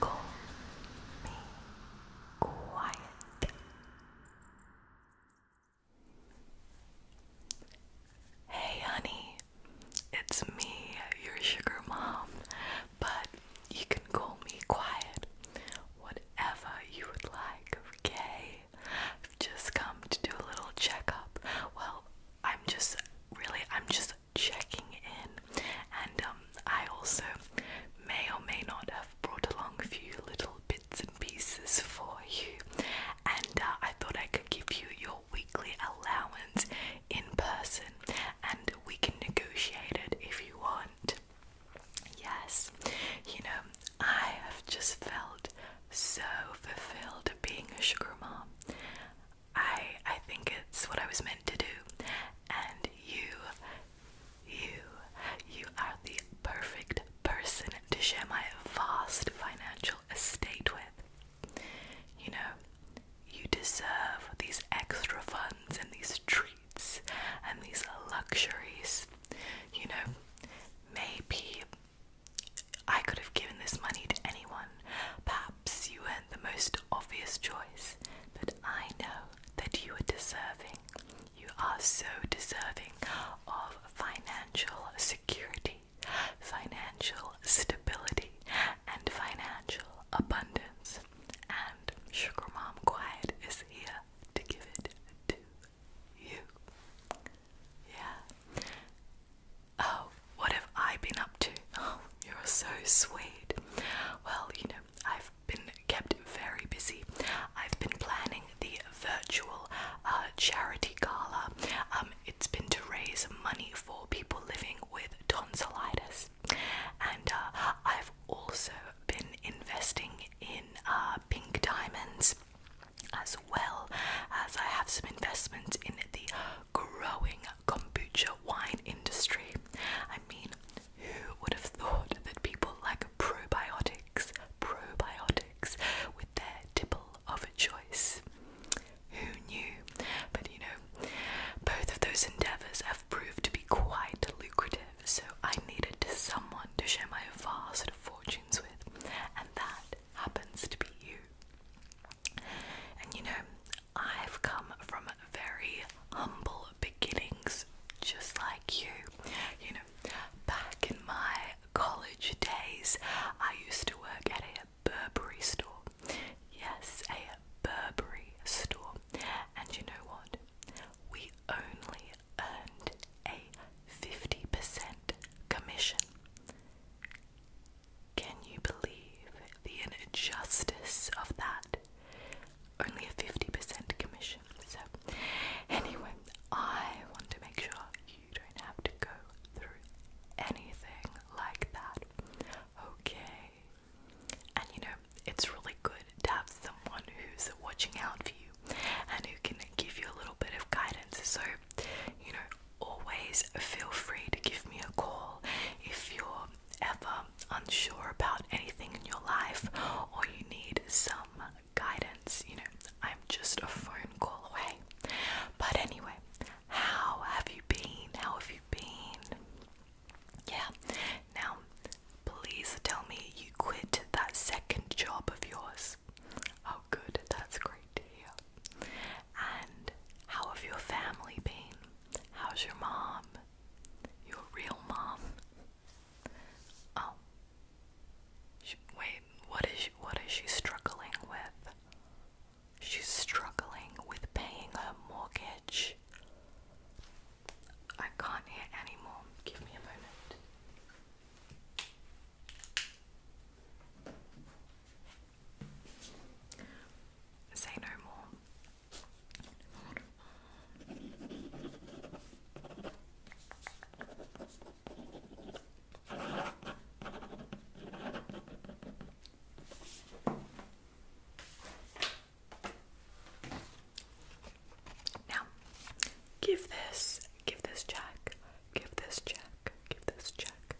Call me quiet. Hey, honey, it's me, your sugar mom, but you can call me quiet, whatever you would like, okay? I've just come to do a little checkup. Well, I'm just really I'm just checking in and um, I also may or may not have brought along a few little bits and pieces for you and uh, I thought I could give you your weekly allowance in person and we can negotiate it if you want. Yes, you know, I have just felt so fulfilled being a sugar mom. I I think it's what I was meant to do. And you you you are the perfect person to share my vast financial estate with. You know, you deserve these extra funds and these treats and these luxuries. You know, maybe I could have given this money to anyone. Perhaps you weren't the most obvious choice, but I know that you are deserving. You are so deserving of financial security, financial stability, and financial abundance. And Sugar Mom Quiet is here to give it to you. Yeah. Oh, what have I been up to? Oh, you're so sweet. Well, you know, I've been kept very busy. I've been planning the virtual uh, charity gala. Um, it's been to raise money for people living with tonsillitis, and uh, I've also been investing in uh, pink diamonds as well as I have some investment in the growing kombucha wine industry. I mean, who would have thought that people like probiotics, probiotics with their tipple of a choice? Who knew? But you know, both of those endeavours have proved to be quite lucrative, so I needed someone to share my vast fortunes with, and that happens to be you. And you know, I've come from very humble beginnings, just like you. You know, back in my college days, I used to work at a Burberry store. Yes, a Burberry store. And you know what? We only earned a 50% commission. Can you believe the injustice of that? Only a 50% commission. So, anyway, I want to make sure you don't have to go through anything like that. Okay. And you know, it's really good to have someone who's watching out for you and who can give you a little bit of guidance. So, you know, always feel free to give me a call if you're ever unsure about anything in your life or you need some guidance. You know, I'm just a phone call away. But anyway, how have you been? How have you been? Yeah, now please tell me you quit that second job of yours. Oh, good, that's great to hear. And how have your family been? How's your mom? Your real mom? Oh, wait, what is she, what is she struggling with? She's struggling with paying her mortgage. I can't hear anymore. Give me a moment. Say no more. Now, give this, give this Jack Give this check. Give this check.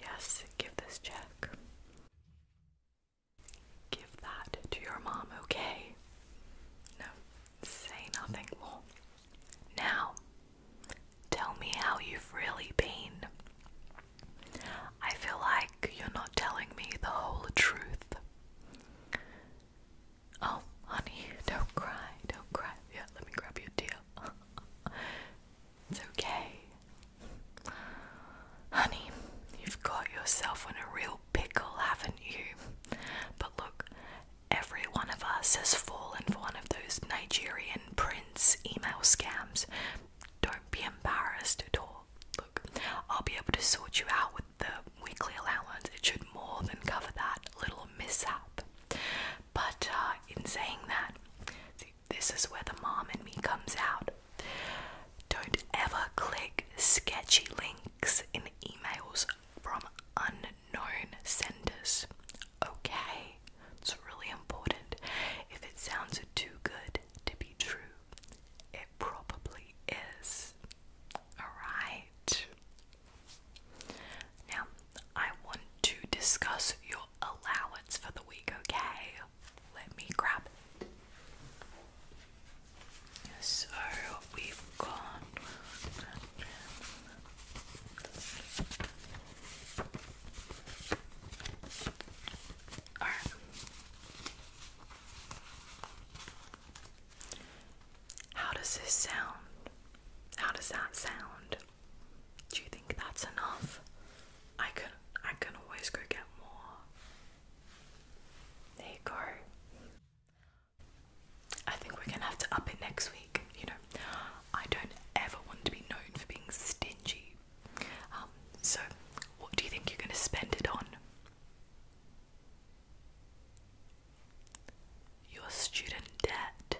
Yes, give this check. Give that to your mom, okay? No, say nothing more. Now, tell me how you've really been. I feel like you're not telling me the whole truth. Oh, honey, don't cry, don't cry. Yeah, let me grab you a deal. it's okay. Honey, you've got yourself in a real pickle, haven't you? But look, every one of us has fallen for one of those Nigerian prince email scams. Don't be embarrassed at all. Look, I'll be able to sort you out with the weekly allowance. It should more than cover that little mishap. But uh, in saying that, this is where the mom and me comes out. Don't ever click sketchy links in emails from unknown senders. Okay, it's really important. If it sounds too good to be true, it probably is. Alright, now, I want to discuss your allowance for the week, okay? Let me grab So, we've got. How does this sound? How does that sound? Do you think that's enough? I can I can always go get more. There you go. I think we're gonna have to up it next week. You know, I don't ever want to be known for being stingy. Um, so, what do you think you're gonna spend it on? Your student debt.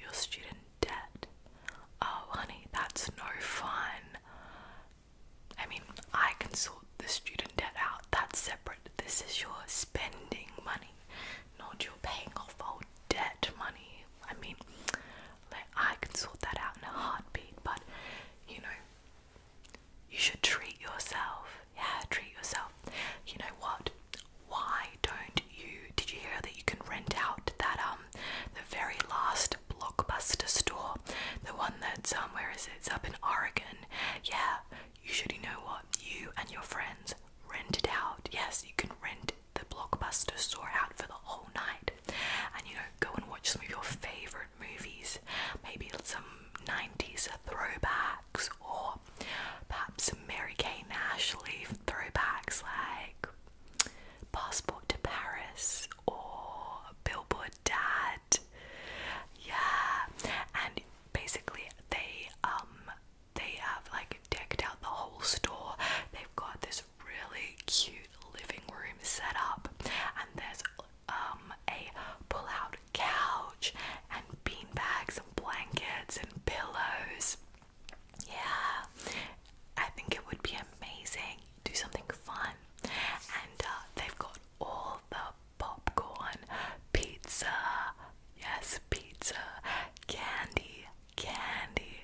Your student debt. Oh, honey, that's no fun. I mean, I can sort the student debt out. That's separate. This is your spending money, not your paying off old debt money. I mean, I can sort that out in a heartbeat, but you know, you should treat yourself. Yeah, treat yourself. You know what? Why don't you? Did you hear that you can rent out that um the very last blockbuster store, the one that somewhere um, is It's up in Oregon. Yeah, you should. You know what? You and your friends rent it out. Yes, you can rent the blockbuster store out for the whole night, and you know go and watch some of your favorite movies. Maybe some '90s throwbacks or or perhaps Mary Kay and Ashley throwbacks like Passport to Paris or Billboard Dad. Yeah, and basically they um they have like decked out the whole store. They've got this really cute living room set up, and there's um a pull couch and bean bags and blankets and pillows. Yeah, I think it would be amazing. Do something fun, and uh, they've got all the popcorn, pizza, yes, pizza, candy, candy.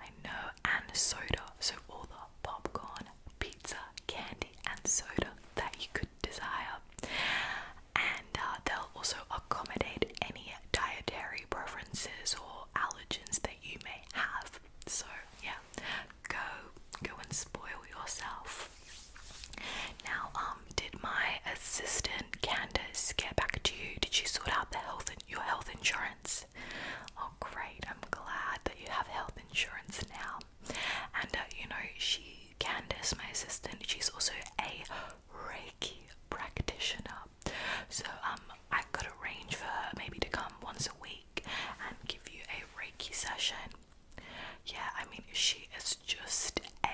I know, and soda. So all the popcorn, pizza, candy, and soda that you could desire, and uh, they'll also accommodate any dietary preferences or allergens that you may have. So yeah, go go and spoil yourself. Now, um, did my assistant Candace get back to you? Did she sort out the health and your health insurance? Oh, great! I'm glad that you have health insurance now. And uh, you know, she, Candice, my assistant, she's also a Reiki practitioner. So um, I could arrange for her maybe to come once a week and give you a Reiki session. Yeah, I mean, she is just a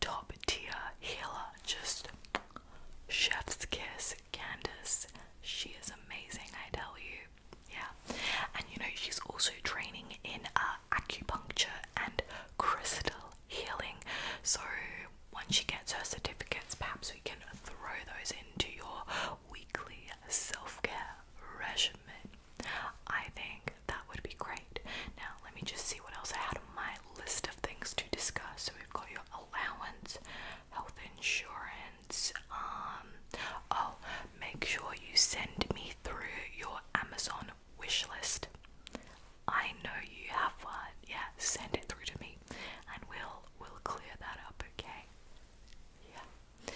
top tier healer. Just chef's kiss, Candice. She is amazing, I tell you. Yeah, and you know, she's also training in uh, acupuncture and crystal healing. So once she gets her certificates, perhaps we can throw those into your weekly self care regimen. I think that would be great. Now, let me just see what else I had on my list of things to discuss. So, we've got your allowance, health insurance. Um, oh, make sure you send me through your Amazon Amazon wish list. I know you have one. Yeah, send it through to me and we'll we'll clear that up, okay? Yeah.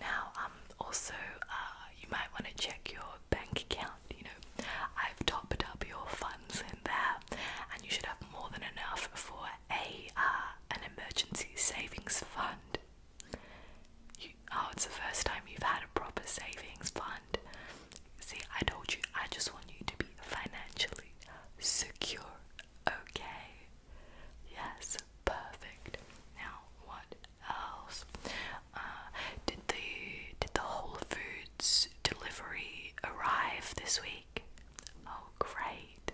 Now, um also uh you might want to check your bank account, you know. I've topped up your funds in there and you should have more than enough for a uh, an emergency savings fund oh, it's the first time you've had a proper savings fund. See, I told you, I just want you to be financially secure, okay? Yes, perfect. Now, what else? Uh, did the did the Whole Foods delivery arrive this week? Oh, great!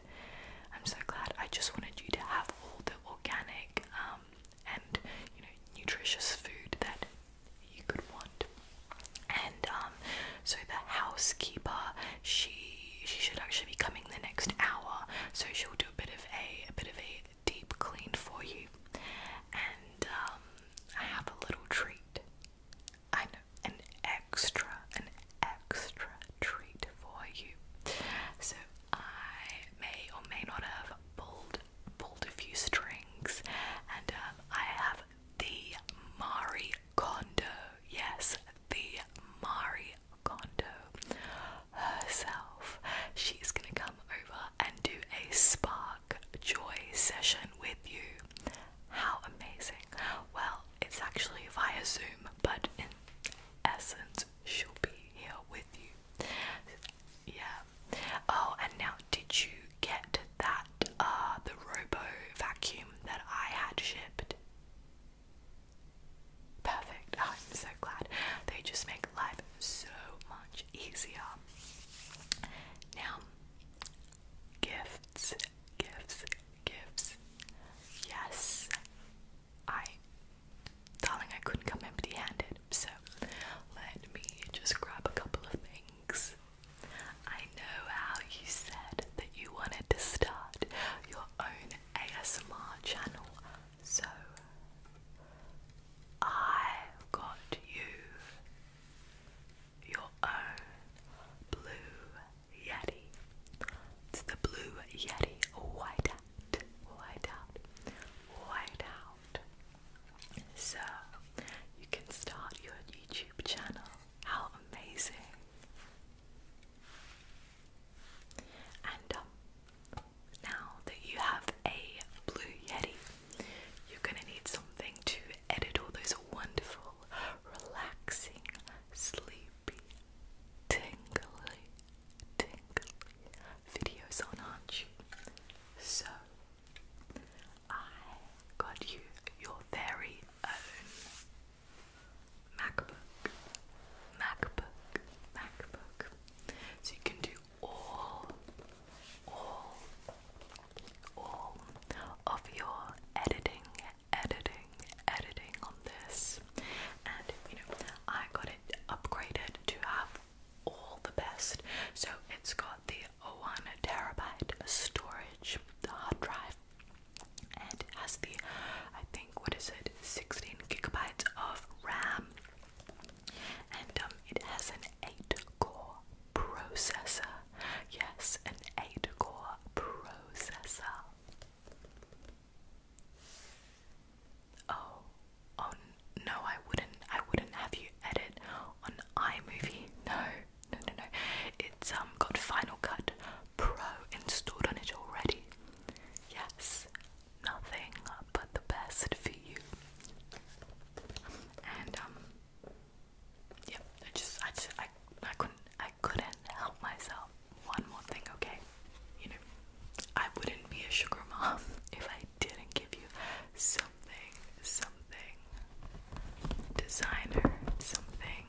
I'm so glad. I just wanted you to have all the organic um, and you know nutritious food that you could want. And um, so the housekeeper, she she should actually be coming the next hour, so she'll do a bit of a a bit of a deep clean for you, and um, I have a little treat. I know an extra, an extra treat for you. So I may or may not have pulled pulled a few strings, and um, I have the Mari Kondo. Yes, the Mari Kondo herself. She's gonna come over and do a spark joy session with you. How amazing! Well, it's actually via Zoom, but in essence, she'll be here with you yeah. Oh, and now did you get that uh the robo vacuum that I had shipped? Perfect. I'm so glad. They just make life so much easier. Now, gifts, gifts, gifts. Yes, I, darling, I couldn't come empty-handed. So let me just grab a couple of things. I know how you said that you wanted to start your own ASMR channel, so I've got you your own blue yeti. It's the blue yeti white out, white So you can start your YouTube channel. How amazing! And um, now that you have a Blue Yeti, you're gonna need something to edit all those wonderful, relaxing, sleepy, tingling tingly videos on, aren't you? So, I got you your very own MacBook, MacBook, MacBook. So you can do all, all, all of your editing, editing, editing on this. And you know, I got it upgraded to have all the best. So it's got the one terabyte storage, the hard drive, and it has the I think what is it, 16 gigabytes of RAM, and um, it has an eight-core processor. Yes, an eight-core processor. Oh, oh no, I wouldn't. I wouldn't have you edit on iMovie. No, no, no, no. It's um got Final Cut Pro installed on it already. Yes, nothing but the best for you. And um, yeah, I just, I just, I, I couldn't, I couldn't help myself. One more thing, okay? You know, I wouldn't be a sugar mom if I didn't give you something, something designer, something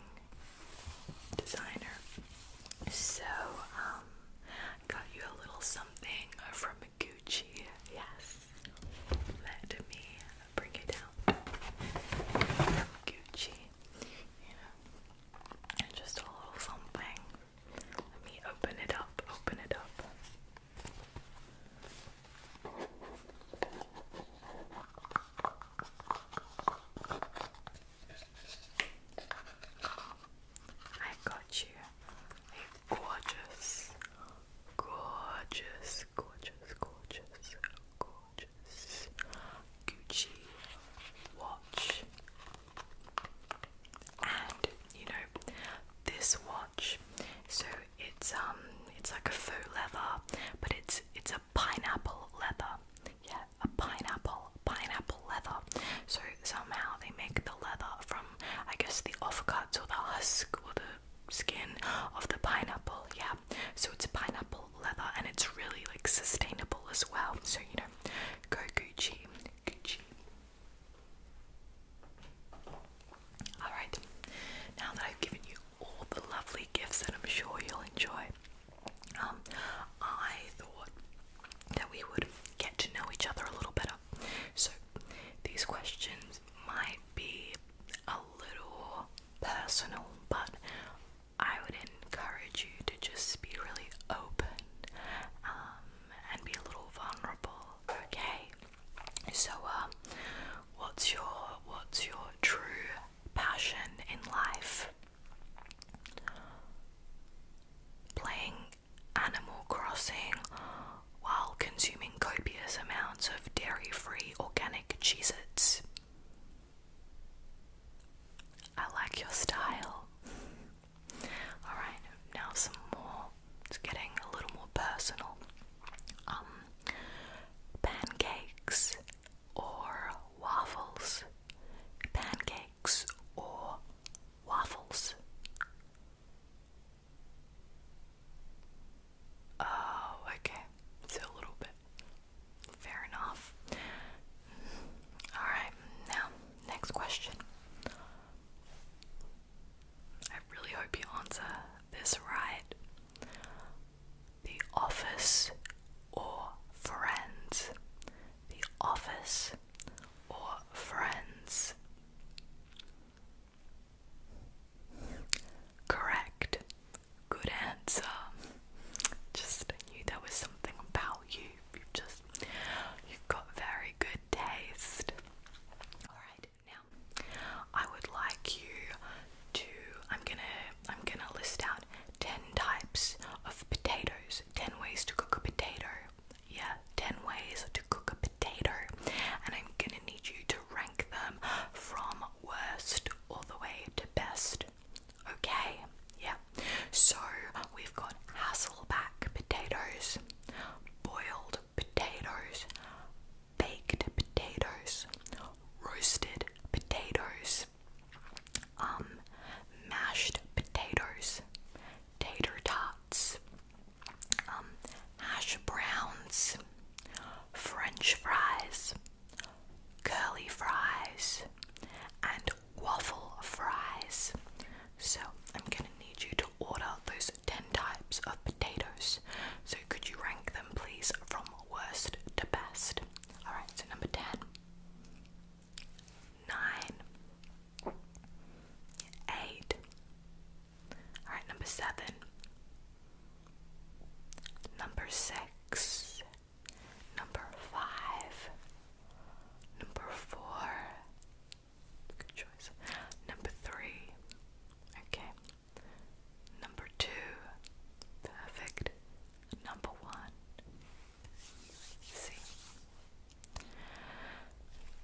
designer. So, um, got you a little something from Gucci. Yes. Let me bring it down. Gucci. You know, just a little something. Let me open it up, open it up. I got you gorgeous, gorgeous, gorgeous, gorgeous, gorgeous Gucci watch. And you know, this watch, so it's um it's like a faux leather, but it's it's a pineapple leather. Yeah, a pineapple, pineapple leather. So somehow they make the leather from I guess the offcuts or the husk or the skin of the pineapple, yeah. So it's pineapple leather and it's really like sustainable as well. So you know Go Gucci, Gucci. Alright, now that I've given you all the lovely gifts that I'm sure you'll enjoy, um, I thought that we would get to know each other a little better. So, these questions might be a little personal, but I would encourage you to just be really open um, and be a little vulnerable. Okay. So, uh, what's your what's your true passion in life? Playing Animal Crossing while consuming copious amounts of dairy-free organic Cheez-Its. I like your style. Alright, now some more. It's getting a little more personal. Um, pancakes or waffles? Pancakes or waffles? Oh, okay. So a little bit. Fair enough. Alright, now, next question. I really hope you answer this right. The office or friends? The office or friends? Correct. Good answer. Just knew there was something about you. You just you got very good taste. Alright, now I would like you to I'm gonna I'm gonna list out ten types of potatoes. Ten ways to cook a potato. Yeah, ten ways to cook a potato. And I'm gonna need you to rank them from worst all the way to best. Okay, yeah. So we've got Hasselback potatoes, boiled potatoes, baked potatoes, roasted potatoes, um, mashed potatoes, tater tots, um, hash browns, French fries curly fries, and waffle fries. So, I'm gonna need you to order those 10 types of potatoes. So, could you rank them, please, from worst to best? Alright, so number 10, 8, alright, number 7, number 6, number five, number four, good choice, number three, okay, number two, perfect, number one, see,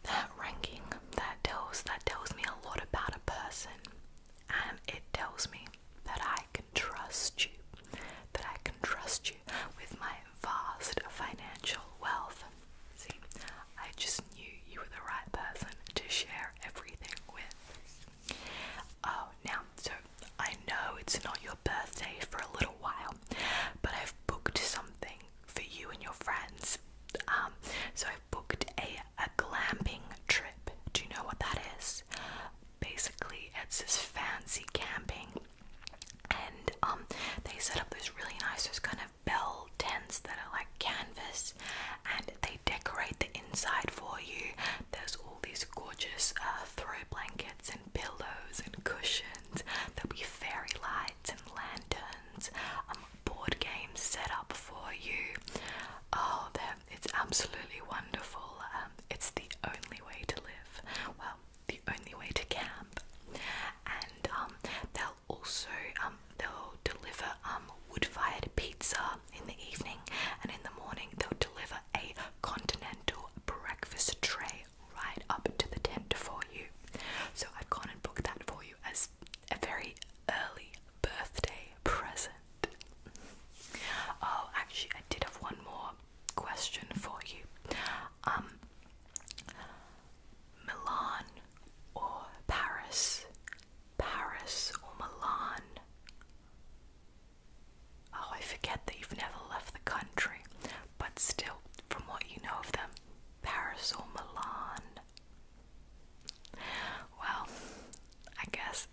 that ranking, that tells, that tells me a lot about a person, and it tells me that I can trust you, that I can trust you with my vast financial wealth. See, I just knew you were the right person to share everything with. Oh, now, so I know it's not your birthday for a little while, but I've booked something for you and your friends. Um, so I've booked a a glamping trip. Do you know what that is? basically it's this fancy camping and um they set up these really nice those kind of bell tents that are like canvas and they decorate the inside for you there's all these gorgeous uh, throw blankets and pillows and cushions there'll be fairy lights and lanterns um board games set up for you oh they it's absolutely wonderful. Um, it's the only way to live. Well, the only way to camp, and um, they'll also um, they'll deliver um, wood-fired pizza in the evening, and in the morning they'll deliver a continental breakfast tray right up to the tent for you. So I've gone and booked that for you as a very early birthday present. Oh, actually, I did have one more question for you. Um, Milan or Paris? Paris or Milan? Oh, I forget that you've never left the country, but still, from what you know of them, Paris or Milan? Well, I guess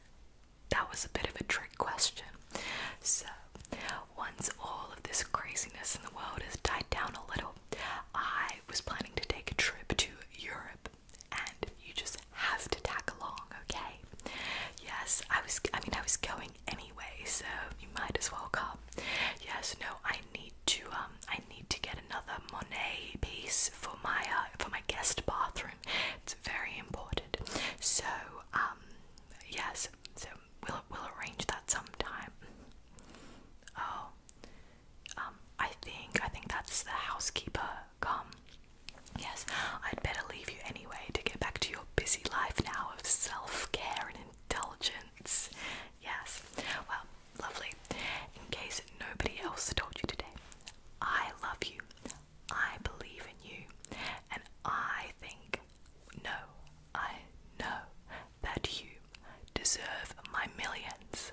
that was a bit of a trick question. So, once all of this craziness in the world has died down a little, I was planning to take a trip to Europe, and you just have to tag along, okay? Yes, I was. I mean, I was going anyway, so you might as well come. Yes, no, I need to. Um, I need to get another Monet piece for my uh, for my guest bathroom. It's very important. So, um, yes, so we'll we'll arrange that sometime. Oh, um, I think I think that's the housekeeper come. Yes, I'd better leave you anyway to get back to your busy life now of self-care and indulgence. Yes, well, lovely. In case nobody else told you today, I love you. I believe in you and I think, no, I know that you deserve my millions.